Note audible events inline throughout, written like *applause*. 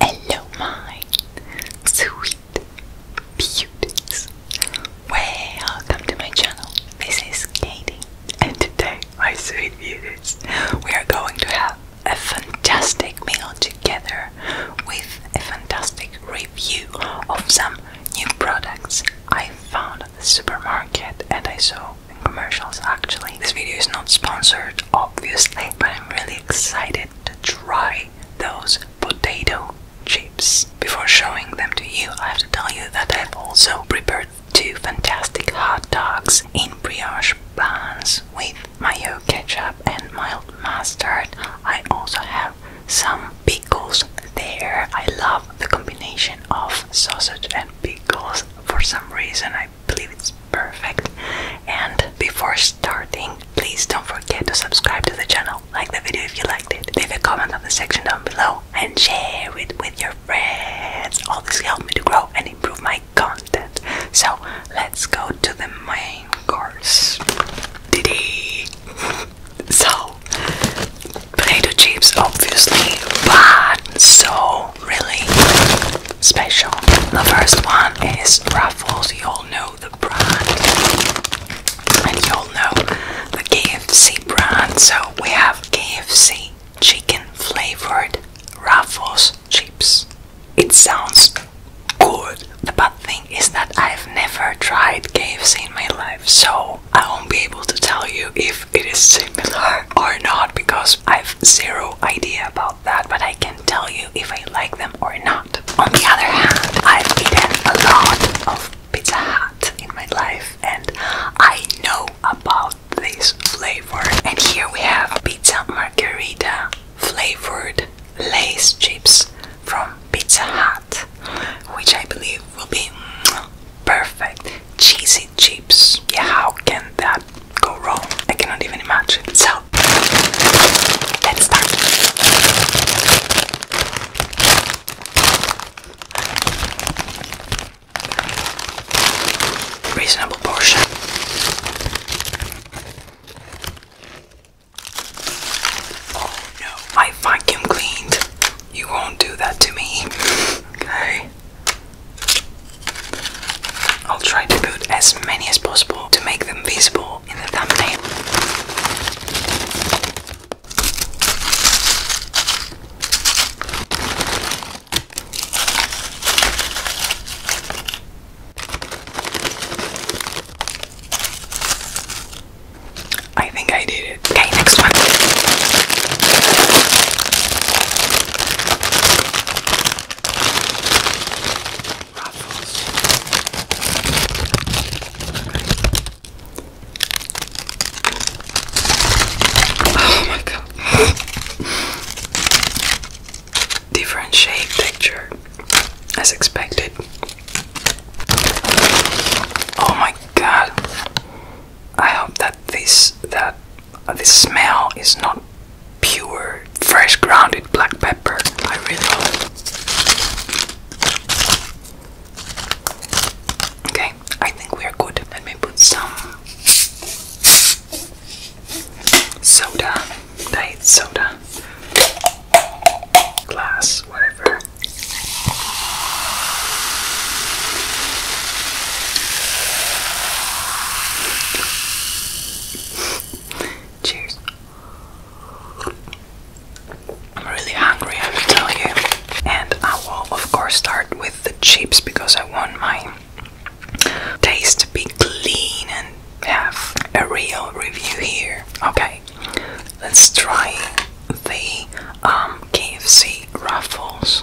Hello, my sweet beauties. Welcome to my channel. This is Katie, and today, my sweet beauties, we are going to have a fantastic meal together with a fantastic review of some new products I found at the supermarket and I saw in commercials actually. This video is not sponsored obviously, but I'm really excited to try those potato chips. Before showing them to you, I have to tell you that I've also prepared two fantastic hot dogs in brioche buns with mayo ketchup and mild mustard. I also have some pickles there. I love the combination of sausage and pickles. For some reason, I believe it's perfect. And before starting, please don't forget to subscribe to the channel, like the video if you liked it, leave a comment on the section down below, and share it with your friends. All this helped me to grow and improve my content. So let's go to the main of course, Diddy. So, potato chips, obviously, but so really special. The first one is Ruffles. You all know the brand, and you all know the KFC brand. So we have KFC chicken flavored Ruffles chips. It sounds good. The bad thing is that I've never tried KFC in my life, so I won't be able to tell you if it is similar or not because I've zero idea about that, but I can tell you if I like them or not. On the other hand, I've eaten a lot of Pizza Hut in my life and I know about this flavor. And here we have pizza margherita flavored lace chips from Pizza Hut, which I believe will be mm, perfect. Cheesy chips. Yeah, how can that go wrong? I cannot even imagine. So, let's start. Reasonable portion. Oh no, my vacuum cleaned. You won't do that to me. Okay. I'll try to put as many as possible to make them visible in the thumbnail. I think I did it. Okay, next one. *laughs* Oh my god. *laughs* Different shape, texture, as expected. Oh my god. I hope that this that uh, smell is not pure fresh grounded black pepper. I really hope. Okay, I think we are good. Let me put some soda diet soda glass, whatever. Cheers. I'm really hungry, I have tell you. And I will, of course, start with the chips because I want my taste to be clean and have a real review here. Okay, let's try the um, KFC Ruffles.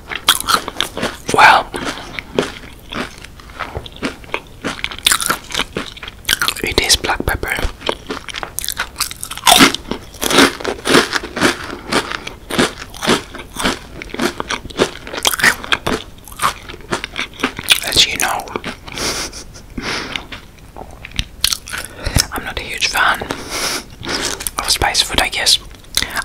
Well, it is black pepper. As you know, I'm not a huge fan of spicy food, I guess.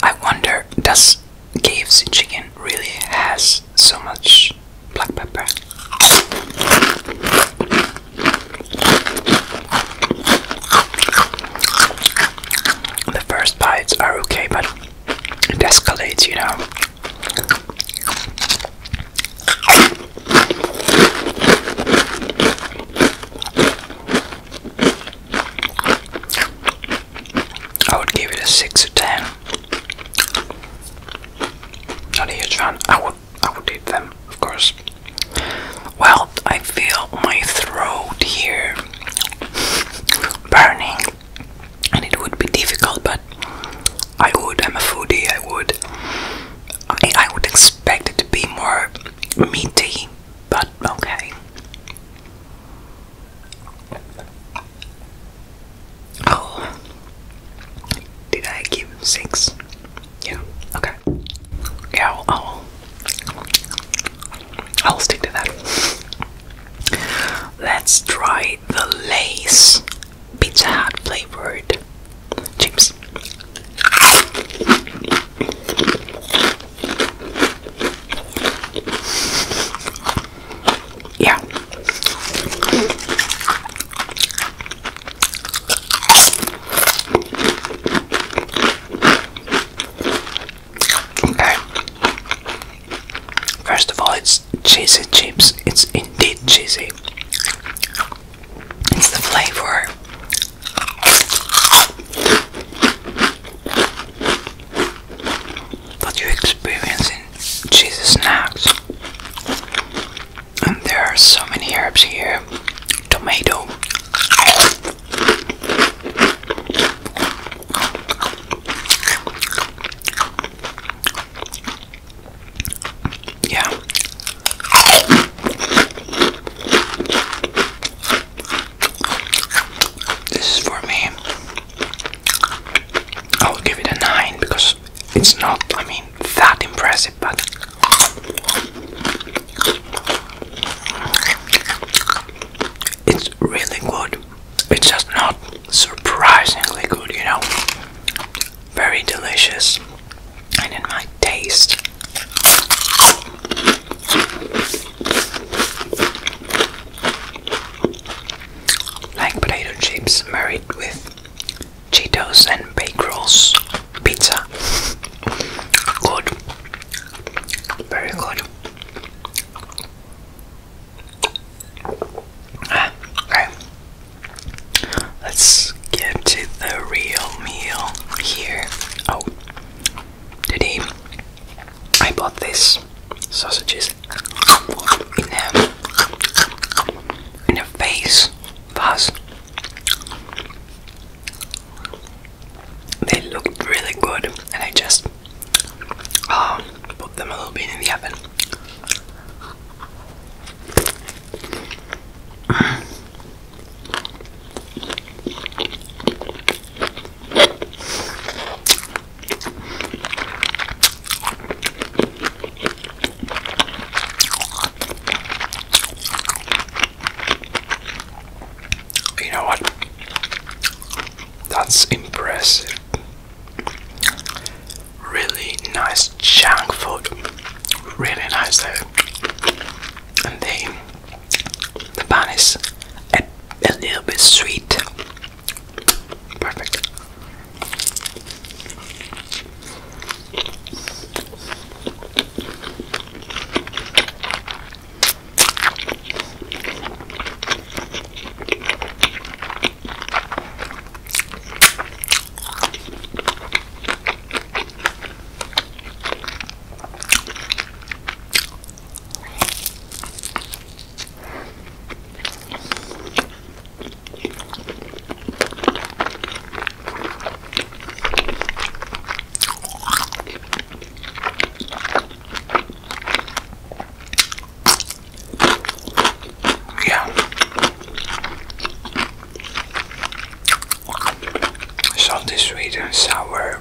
I wonder, does cave's chicken really has so much black pepper? The first bites are okay, but it escalates, you know. I would give it a six to ten. Not a huge fan. I would I would eat them, of course. Well, I feel my throat here burning, and it would be difficult, but I would. I'm a foodie. I would. I, I would expect it to be more meaty but okay. Oh, did I give six? Yeah, okay. Yeah, I'll, I'll, stick to that. Let's try the Lay's Pizza Hut flavored chips. Yeah. Okay. First of all, it's cheesy chips. It's indeed cheesy. It's the flavor but you experience in snacks. And there are so many herbs here. Tomato. Yeah. This is for me. I will give it a 9 because it's not, I mean, that impressive, but. It's really good. It's just not surprisingly good, you know. Very delicious. And in my taste, like potato chips married with Cheetos and bagels, pizza. Good. Very good. Ah, okay. Let's get to the real meal here. Oh, Today I bought these sausages in a in a vase vase. They looked really good, and I just um, put them a little bit in the oven. You know what? That's impressive. Really nice junk food. Really nice. Though. And they the bun is a, a little bit sweet. Perfect. Yeah. the sweet, and sour.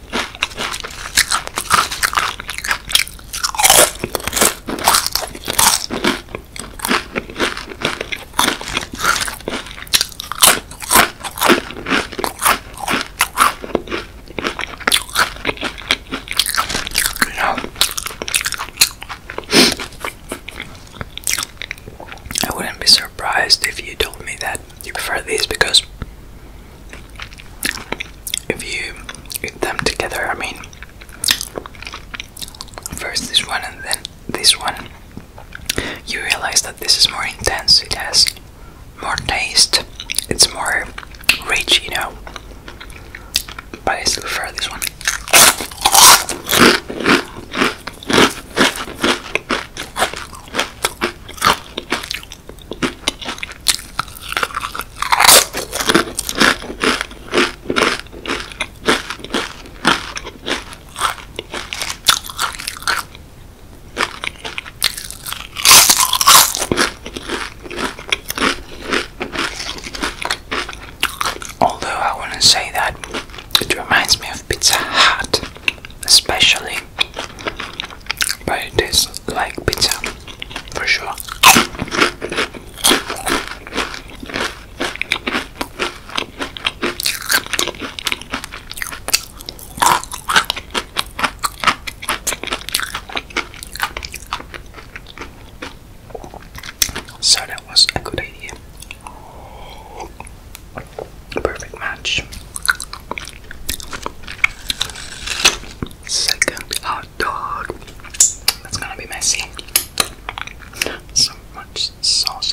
Yeah. I wouldn't be surprised if you told me that you prefer these because if you eat them together, I mean, first this one and then this one, you realize that this is more intense, it has more taste, it's more rich, you know. But I still prefer this one. Although I wouldn't say that, it reminds me of Pizza Hut, especially but it tastes like pizza for sure. So that was a good idea. Perfect match. Second hot dog. That's gonna be messy. So much sauce.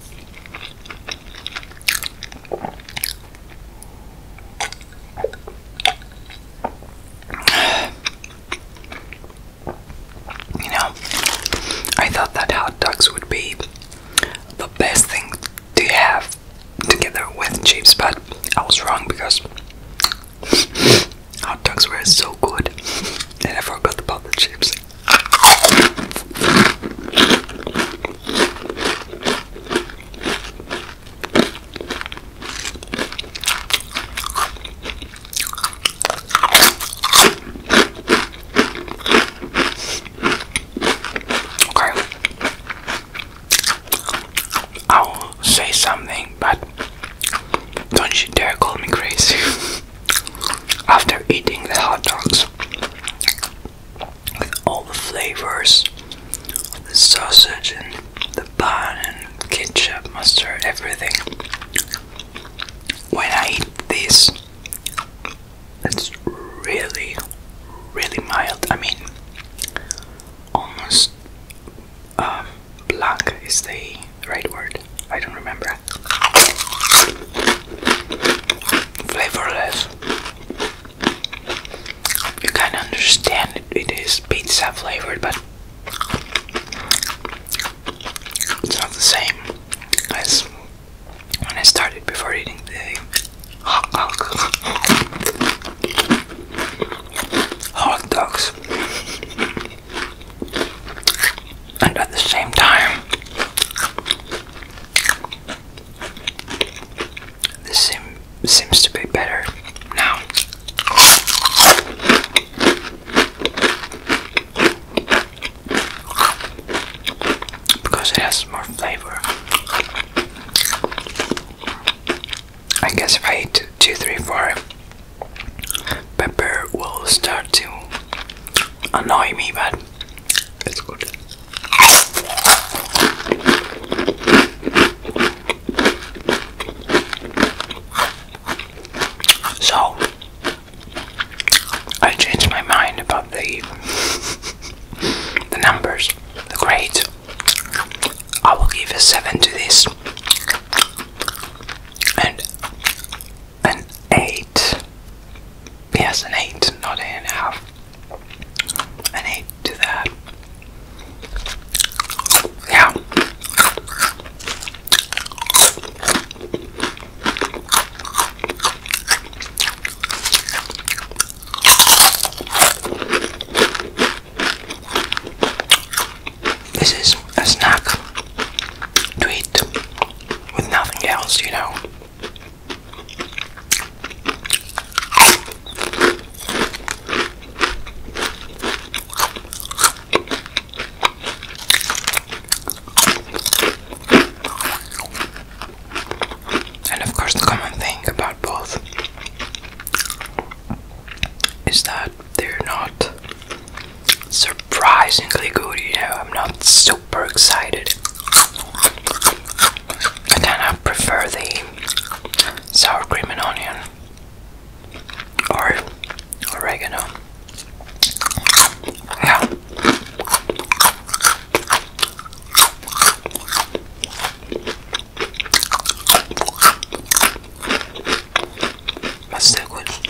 You know, I thought that hot dogs would be the best thing to have together with chips, but I was wrong because hot dogs were so good and I forgot about the chips. Okay. I'll say something, but don't you dare call me crazy. *laughs* after eating the hot dogs with all the flavors the sausage and the bun and ketchup, mustard, everything. When I eat this, it's really, really mild. I mean, almost um, black is the right word. I don't remember flavorless. You can understand it is pizza flavored, but it's not the same as when I started before eating the hot dogs and at the same time, this sim seems to be better now. Because it has more flavor. I guess if I eat two, three, four, pepper will start to annoy me, but it's good. So, I changed my mind about the the numbers, the grades. I will give a seven to this, and an 8. Yes, an 8, not an 8.5. An 8 to that. Yeah. This is a snack to with nothing else, you know. And of course, the common thing about both is that they're not surprisingly good, you know. I'm not super excited. I kind of prefer the sour cream and onion or oregano. Yeah my sandwich.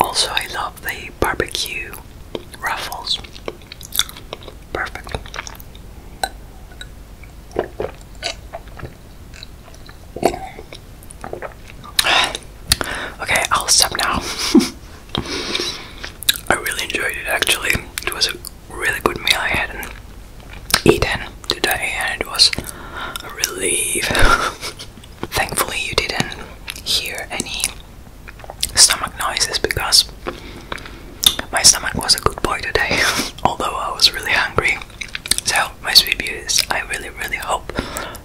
Also, I love the barbecue ruffles. Perfect. *sighs* Okay, I'll stop now. *laughs* I really enjoyed it actually. It was a really good meal I had eaten today, and it was a relief. *laughs* Thankfully, you didn't hear any stomach noises because my stomach was a good boy today, *laughs* although I was really hungry. So, my sweet beauties, I really, really hope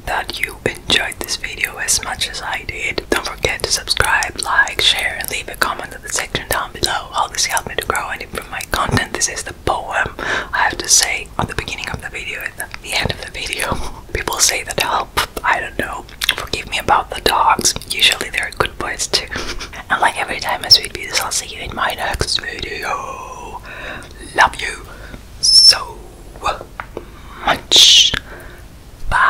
that you enjoyed this video as much as I did. Don't forget to subscribe, like, share, and leave a comment in the section down below. All this helped me to grow and improve my content. This is the poem I have to say at the beginning of the video and the end of the video. *laughs* People say that help, I don't know. Forgive me about the dogs. Usually they're good boys too. *laughs* and like every time I sweet videos, I'll see you in my next video. Love you so much. Bye.